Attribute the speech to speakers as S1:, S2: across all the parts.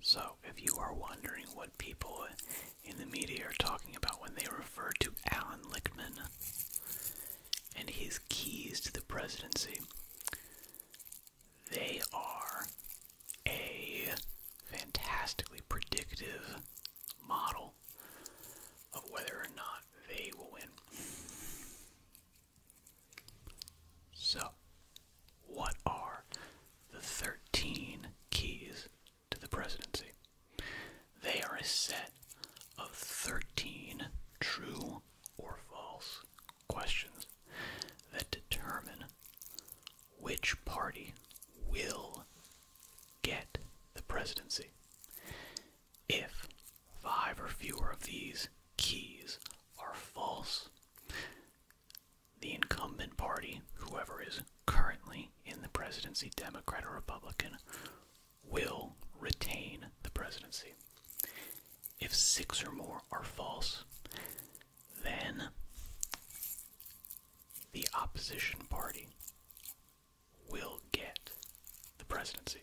S1: So, if you are wondering what people in the media are talking about when they refer to Alan Lichtman and his keys to the presidency, they are a fantastically predictive model of whether or not they will win. So, what are the 13 keys to the presidency? They are a set of 13 true or false questions that determine which party will get the presidency. If five or fewer of these keys are false, the incumbent party, whoever is currently in the presidency, Democrat or Republican, will retain the presidency. If six or more are false, then the opposition party will get the presidency.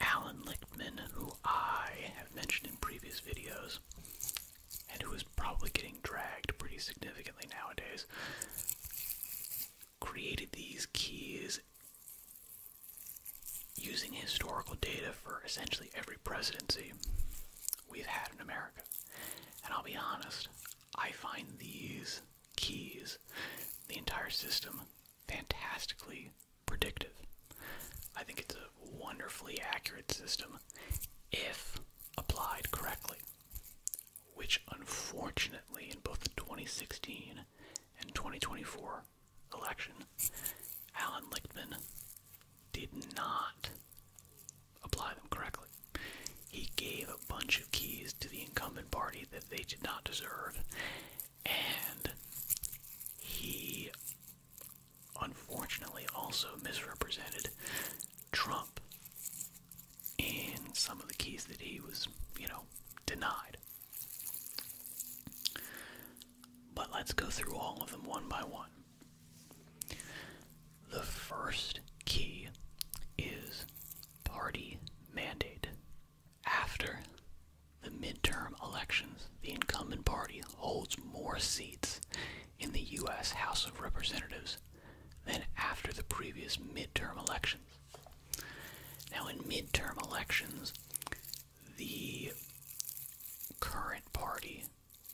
S1: Alan Lichtman, who I have mentioned in previous videos, and who is probably getting dragged pretty significantly nowadays, created these keys using historical data for essentially every presidency we've had in America. And I'll be honest, I find these keys, the entire system, fantastically predictive. I think it's a wonderfully accurate system if applied correctly, which unfortunately in both the 2016 and 2024 election, Alan Lichtman did not apply them correctly. He gave a bunch of keys to the incumbent party that they did not deserve, and he unfortunately also misrepresented Trump in some of the keys that he was, you know, denied. But let's go through all of them one by one. The first key is party mandate. After the midterm elections, the incumbent party holds more seats in the U.S. House of Representatives than after the previous midterm elections. Now, in midterm elections, the current party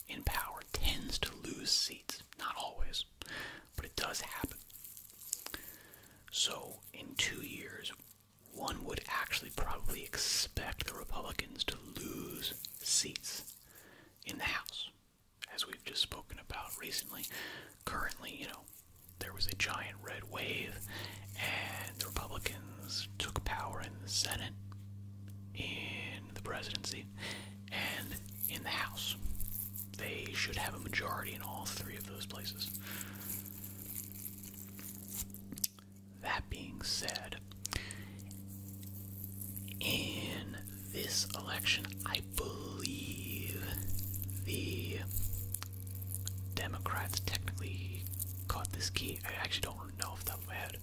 S1: in power tends to lose seats. Not always, but it does happen. So, in two years, one would actually probably expect the Republicans to lose seats in the House, as we've just spoken about recently. Currently, you know, there was a giant red wave, and the Republicans took power in the Senate, in the presidency, and in the House. They should have a majority in all three of those places. That being said, in this election, I believe the Democrats technically caught this key. I actually don't know if that's top my head.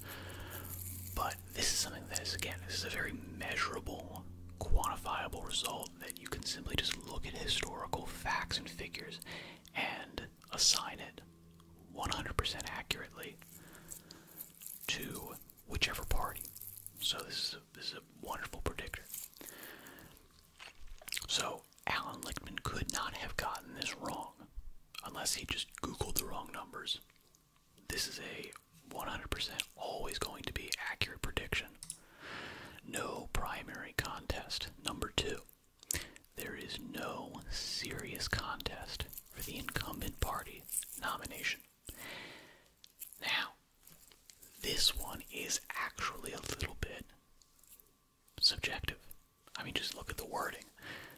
S1: But this is something that is, again, this is a very measurable, quantifiable result that you can simply just look at historical facts and figures and assign it 100% accurately to whichever party. So this is a, wonderful predictor. So Alan Lichtman could not have gotten this wrong unless he just Googled the wrong numbers. This is a 100% always going to be accurate prediction. No primary contest. Number two. There is no serious contest for the incumbent party nomination. Now, this one is actually a little bit subjective. I mean, just look at the wording.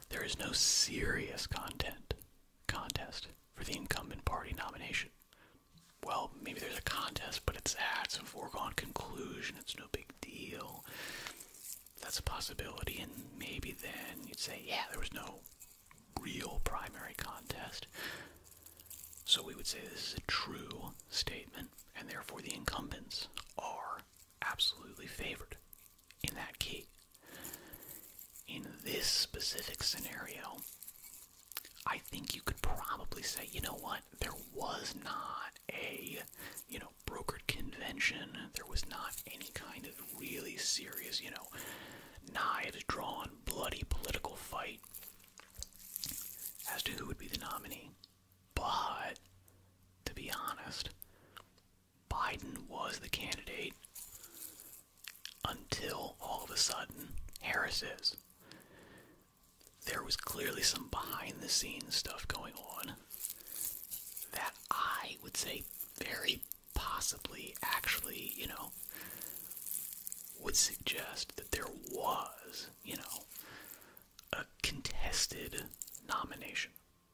S1: There is no serious content contest for the incumbent party nomination. Well, maybe there's a contest, but it's ah, it's a foregone conclusion. It's no big deal. That's a possibility, and maybe then you'd say, yeah, there was no real primary contest. So we would say this is a true statement, and therefore the incumbents are absolutely favored in that case. In this specific scenario, I think you could probably say, you know what, there was not a, you know, brokered convention. There was not any kind of really serious, you know, knives drawn, bloody political fight as to who would be the nominee. But, to be honest, Biden was the candidate until all of a sudden Harris is there was clearly some behind the scenes stuff going on that I would say very possibly actually, you know, would suggest that there was, you know, a contested nomination.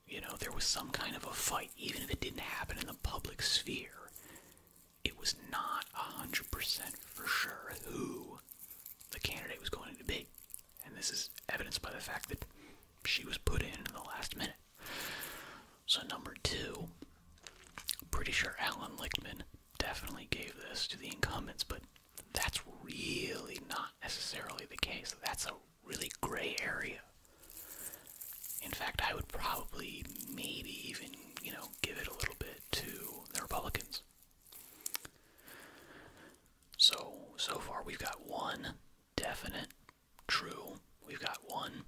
S1: You know, there was some kind of a fight, even if it didn't happen in the public sphere. It was not 100% for sure who the candidate was going to be. And this is evidenced by the fact that she was put in in the last minute. So, number two, pretty sure Alan Lichtman definitely gave this to the incumbents, but that's really not necessarily the case. That's a really gray area. In fact, I would probably maybe even, you know, give it a little bit to the Republicans. So, so far we've got one definite true. We've got one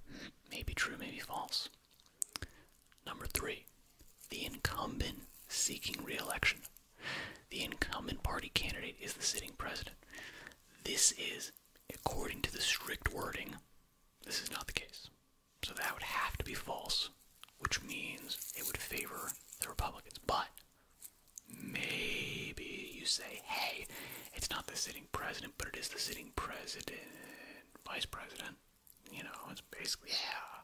S1: maybe true, maybe false. Number three, the incumbent seeking re election. The incumbent party candidate is the sitting president. This is, according to the strict wording, this is not the case. So that would have to be false, which means it would favor the Republicans. But Maybe you say, hey, it's not the sitting president, but it is the sitting president, vice president. You know, it's basically, yeah.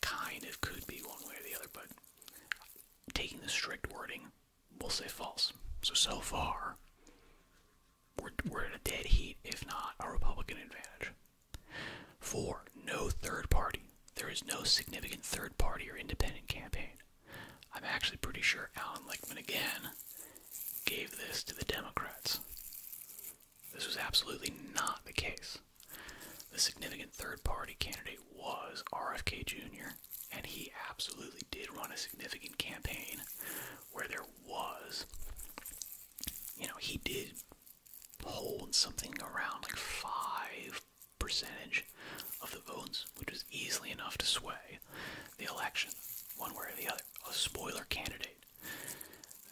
S1: Kind of could be one way or the other, but taking the strict wording, we'll say false. So, so far, we're, we're at a dead heat, if not a Republican advantage. Four, no third party. There is no significant third party or independent campaign. I'm actually pretty sure Alan Lichtman again gave this to the Democrats. This was absolutely not the case. The significant third party candidate was RFK Jr., and he absolutely did run a significant campaign where there was, you know, he did hold something around like 5 percentage of the votes, which is easily enough to sway the election one way or the other. A spoiler candidate.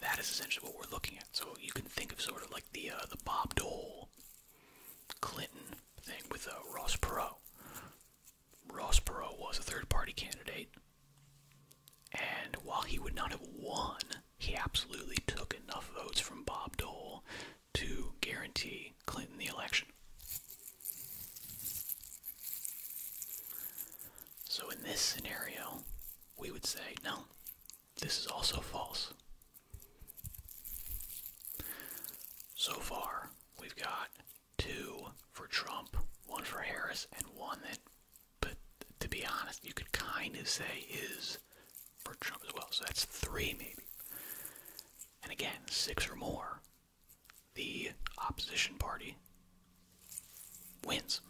S1: That is essentially what we're looking at. So you can think of sort of like the uh, the Bob Dole Clinton thing with uh, Ross Perot. Ross Perot was a third party candidate, and while he would not have won he absolutely took enough votes from Bob Dole to guarantee Clinton the election. So, in this scenario, we would say, no, this is also false. So far, we've got two for Trump, one for Harris, and one that, but to be honest, you could kind of say is for Trump as well. So that's three, maybe. And again, six or more, the opposition party wins.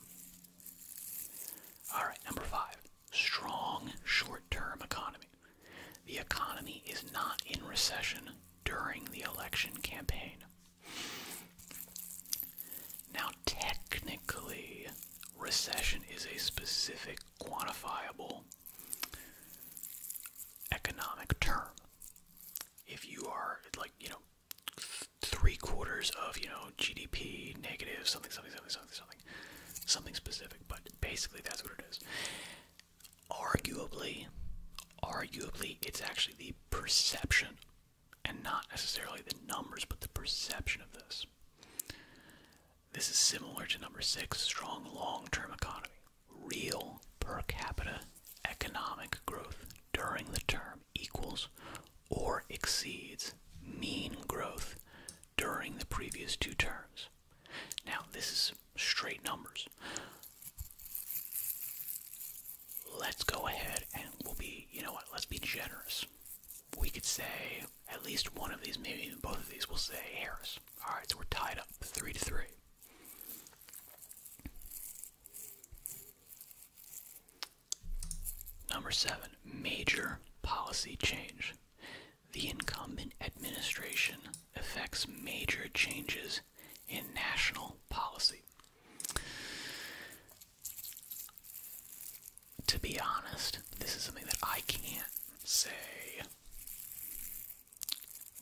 S1: All right, number five strong short term economy. The economy is not in recession during the election campaign. Now, now, technically, recession is a specific, quantifiable economic term. If you are like, you know, three quarters of, you know, GDP negative, something, something, something, something, something, something specific, but basically that's what it is. Arguably, arguably, it's actually the perception and not necessarily the numbers, but the perception of this. This is similar to number six strong long term economy. Real per capita economic growth during the term equals or exceeds mean growth during the previous two terms. Now, this is straight numbers. Let's go ahead and we'll be, you know what, let's be generous. We could say at least one of these, maybe even both of these, will say Harris. Alright, so we're tied up three to three. Number seven, major policy change. The incumbent administration affects major changes in national policy to be honest, this is something that I can't say.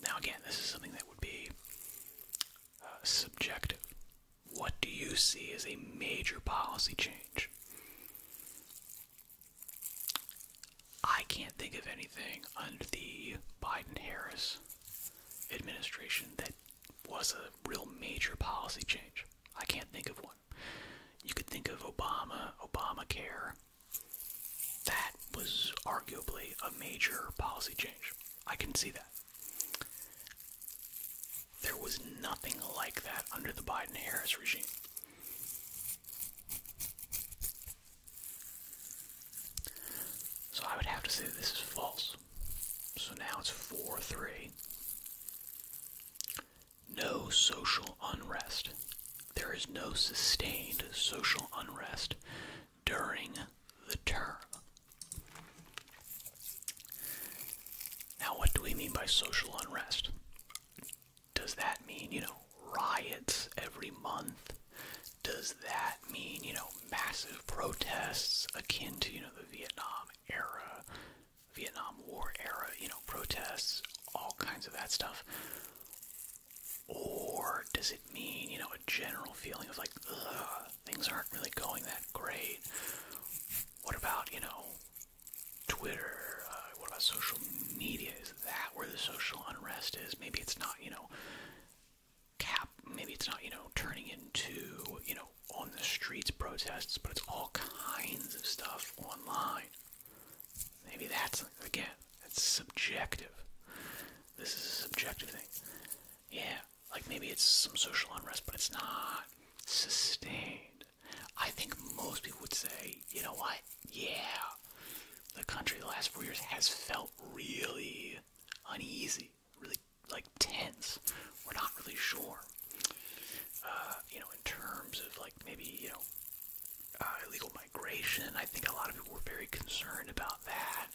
S1: Now, again, this is something that would be uh, subjective. What do you see as a major policy change? I can't think of anything under the Biden Harris administration that was a real major policy change. I can't think of one. You could think of Obama, Obamacare. That was arguably a major policy change. I can see that. There was nothing like that under the Biden Harris regime. So I would have to say this is false. So now it's 4 3 no social unrest. There is no sustained social unrest during the term. Now, what do we mean by social unrest? Does that mean, you know, riots every month? Does that mean, you know, massive protests akin to, you know, the Vietnam era? Vietnam War era, you know, protests, all kinds of that stuff? Or does it mean, you know, a general feeling of like, ugh, things aren't really going that great? What about, you know, Twitter? Uh, what about social media? Is that where the social unrest is? Maybe it's not, you know, cap, maybe it's not, you know, turning into, you know, on the streets protests, but it's all kinds of stuff online. Maybe that's, again, it's subjective. This is a subjective thing. Yeah, like maybe it's some social unrest, but it's not sustained. I think most people would say, you know what? Yeah, the country the last four years has felt really uneasy, really like tense. We're not really sure uh, you know, in terms of like maybe you know uh, illegal migration. I think a lot of people were very concerned about that.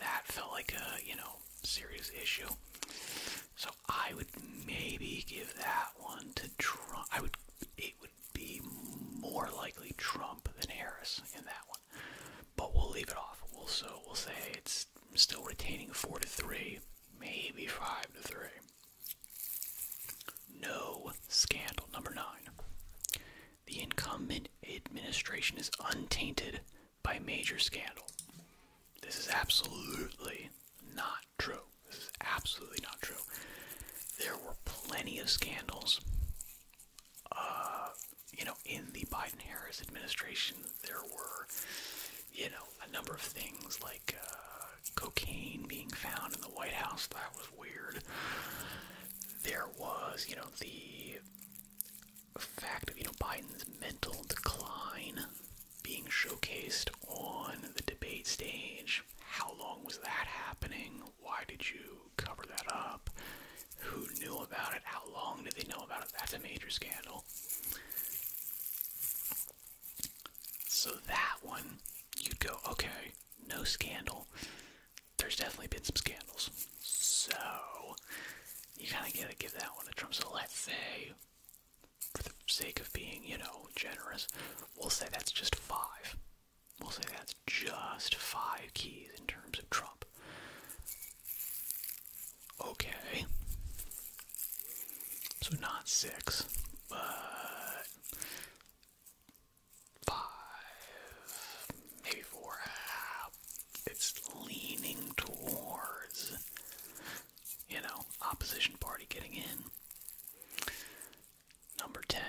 S1: That felt like a you know serious issue. So I would maybe give that one to Trump. I would. It would be more likely Trump than Harris in that one. But we'll leave it off. We'll so we'll say it's still retaining four to three, maybe five to three. No scandal. Number nine. The incumbent administration is untainted by major scandal. This is absolutely not true. This is absolutely not true. There were plenty of scandals. Uh, you know, in the Biden Harris administration, there were, you know, a number of things like uh, cocaine being found in the White House. That was weird. There was, you know, the fact of, you know, Biden's mental decline being showcased on the debate stage. How long was that happening? Why did you cover that up? Who knew about it? How long did they know about it? That's a major scandal. So that one, you'd go, okay, no scandal. There's definitely been some scandals. So you kind of got to give that one a Trump's So let's say, for the sake of being, you know, generous, we'll say that's just five. We'll say that's just five keys in terms of Trump. Okay. So not six, but five, maybe four. it's leaning towards, you know, opposition party getting in. Number 10,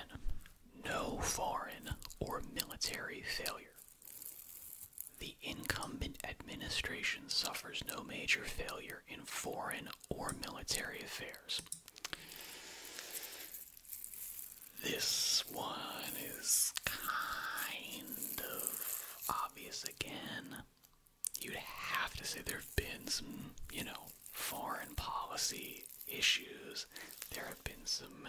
S1: no foreign or military failure. The incumbent administration suffers no major failure in foreign or military affairs. This one is kind of obvious again. You'd have to say there have been some, you know, foreign policy issues. There have been some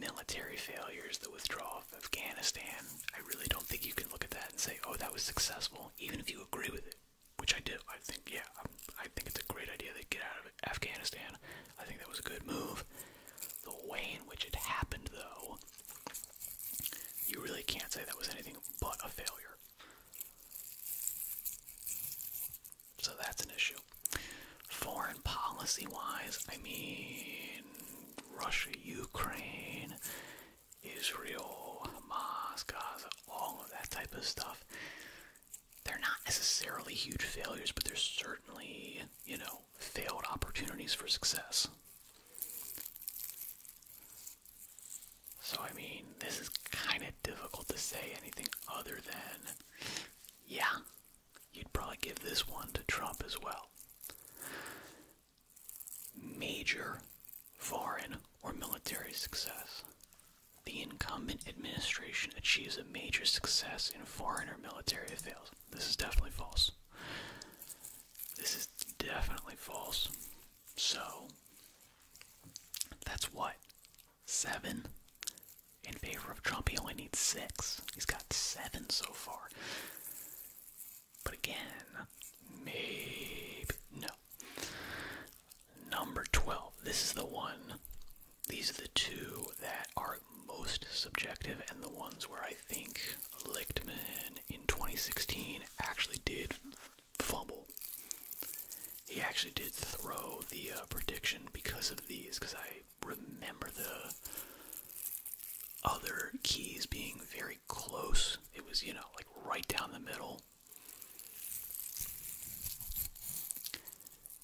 S1: military failures, the withdrawal of Afghanistan. I really don't think you can look at that and say, oh, that was successful even if you agree with it, which I do. I think, yeah, i I think it's a great idea to get out of Afghanistan. I think that was a good move. The way in which it happened, though, you really can't say that was anything but a failure. So that's an issue. Foreign policy wise, I mean, Russia, Ukraine, Israel, Hamas, Gaza, all of that type of stuff. They're not necessarily huge failures, but they're certainly, you know, failed opportunities for success. So, I mean, this is kind of difficult to say anything other than, yeah, you'd probably give this one to Trump as well major foreign or military success. The incumbent administration achieves a major success in foreign or military affairs. This is definitely false. This is definitely false. So, that's what? Seven? In favor of Trump, he only needs six. He's got seven so far. But again, maybe no. Number 12. This is the one. These are the two that are most subjective and the ones where I think Lichtman in 2016 actually did fumble. He actually did throw the uh, prediction because of these, because I remember the other keys being very close. It was, you know, like right down the middle.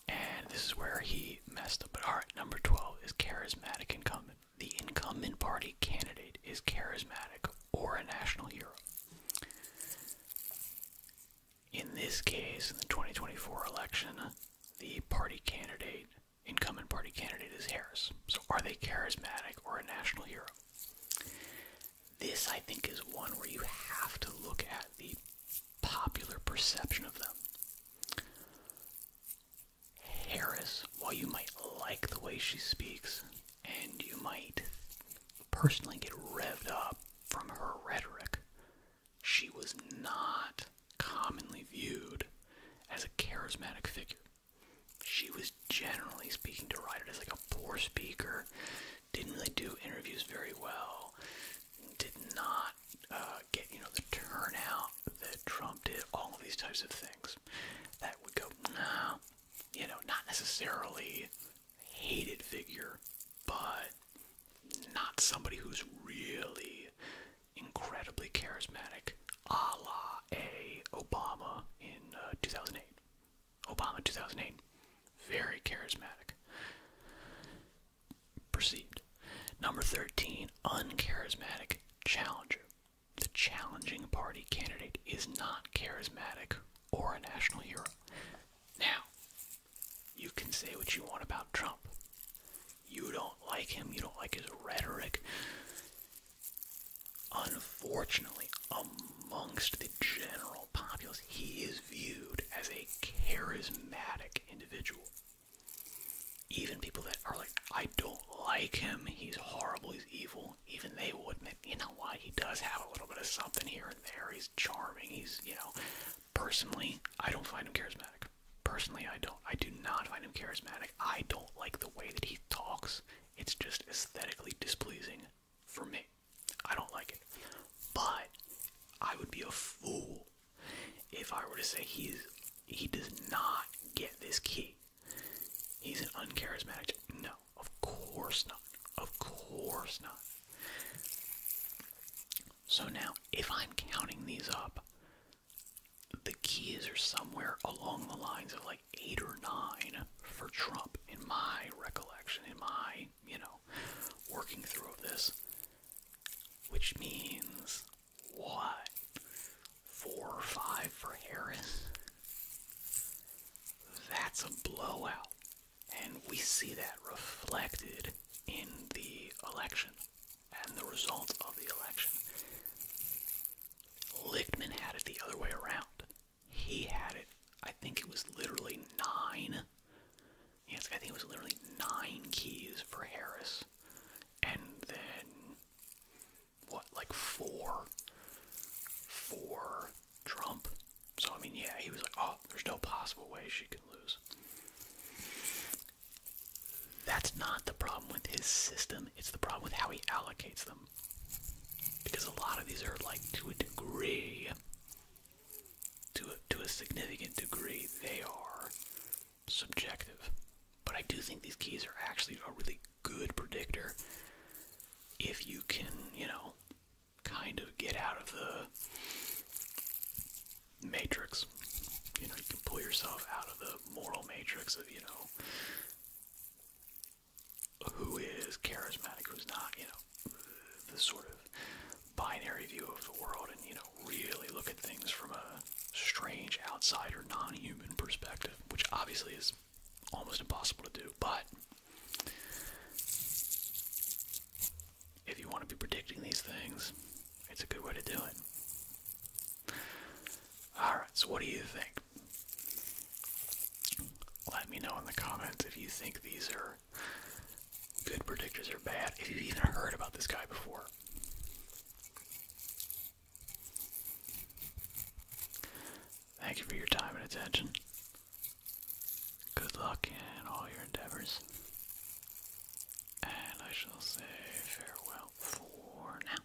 S1: And this is where he messed up. But all right, number 12 is charismatic incumbent. The incumbent party candidate is charismatic or a national hero. In this case, in the 2024 election, the party candidate, incumbent party candidate is Harris. So are they charismatic or a national hero? This, I think, is one where you have to look at the popular perception of them. Harris, while you might like the way she speaks, and you might personally get revved up from her rhetoric, she was not commonly viewed as a charismatic figure she was generally speaking to write it as like a poor speaker, didn't really do interviews very well, did not uh, get you know the turnout that Trump did, all of these types of things. That would go, you know, not necessarily hated figure, but not somebody who's really incredibly charismatic a a Obama in uh, 2008. Obama 2008. Very charismatic. Perceived. Number 13, uncharismatic challenger. The challenging party candidate is not charismatic or a national hero. Now, you can say what you want about Trump. You don't like him, you don't like his rhetoric, Unfortunately, amongst the general populace, he is viewed as a charismatic individual. Even people that are like, I don't like him, he's horrible, he's evil, even they will admit, you know why he does have a little bit of something here and there, he's charming, he's, you know. Personally, I don't find him charismatic. Personally, I don't. I do not find him charismatic. I don't like the way that he talks. It's just aesthetically displeasing for me. I don't like it. But I would be a fool if I were to say he's he does not get this key. He's an uncharismatic. No, of course not. Of course not. So now, if I'm counting these up, the keys are somewhere along the lines of like eight or nine for Trump in my recollection, in my, you know, working through of this. Which means what? Four or five for Harris? That's a blowout. And we see that reflected in the election and the result of the election. Lichtman had it the other way around. He had it. I think it was literally nine. Yes, I think it was literally nine keys for Harris, and then what, like four for Trump. So I mean, yeah, he was like, "Oh, there's no possible way she can lose." That's not the problem with his system. It's the problem with how he allocates them. Um, because a lot of these are like to a degree, to to a significant degree, they are subjective. But I do think these keys are actually a really good predictor if you can, you know, kind of get out of the matrix. You know, you can pull yourself out of the moral matrix of, you know, who is charismatic, who's not, you know, the sort of binary view of the world and, you know, really look at things from a strange outsider, non human perspective, which obviously is almost impossible to do. But if you want to be predicting these things, it's a good way to do it. Alright, so what do you think? Let me know in the comments if you think these are good predictors or bad, if you've even heard about this guy before. Thank you for your time and attention. Good luck in all your endeavors. And I shall say farewell for now.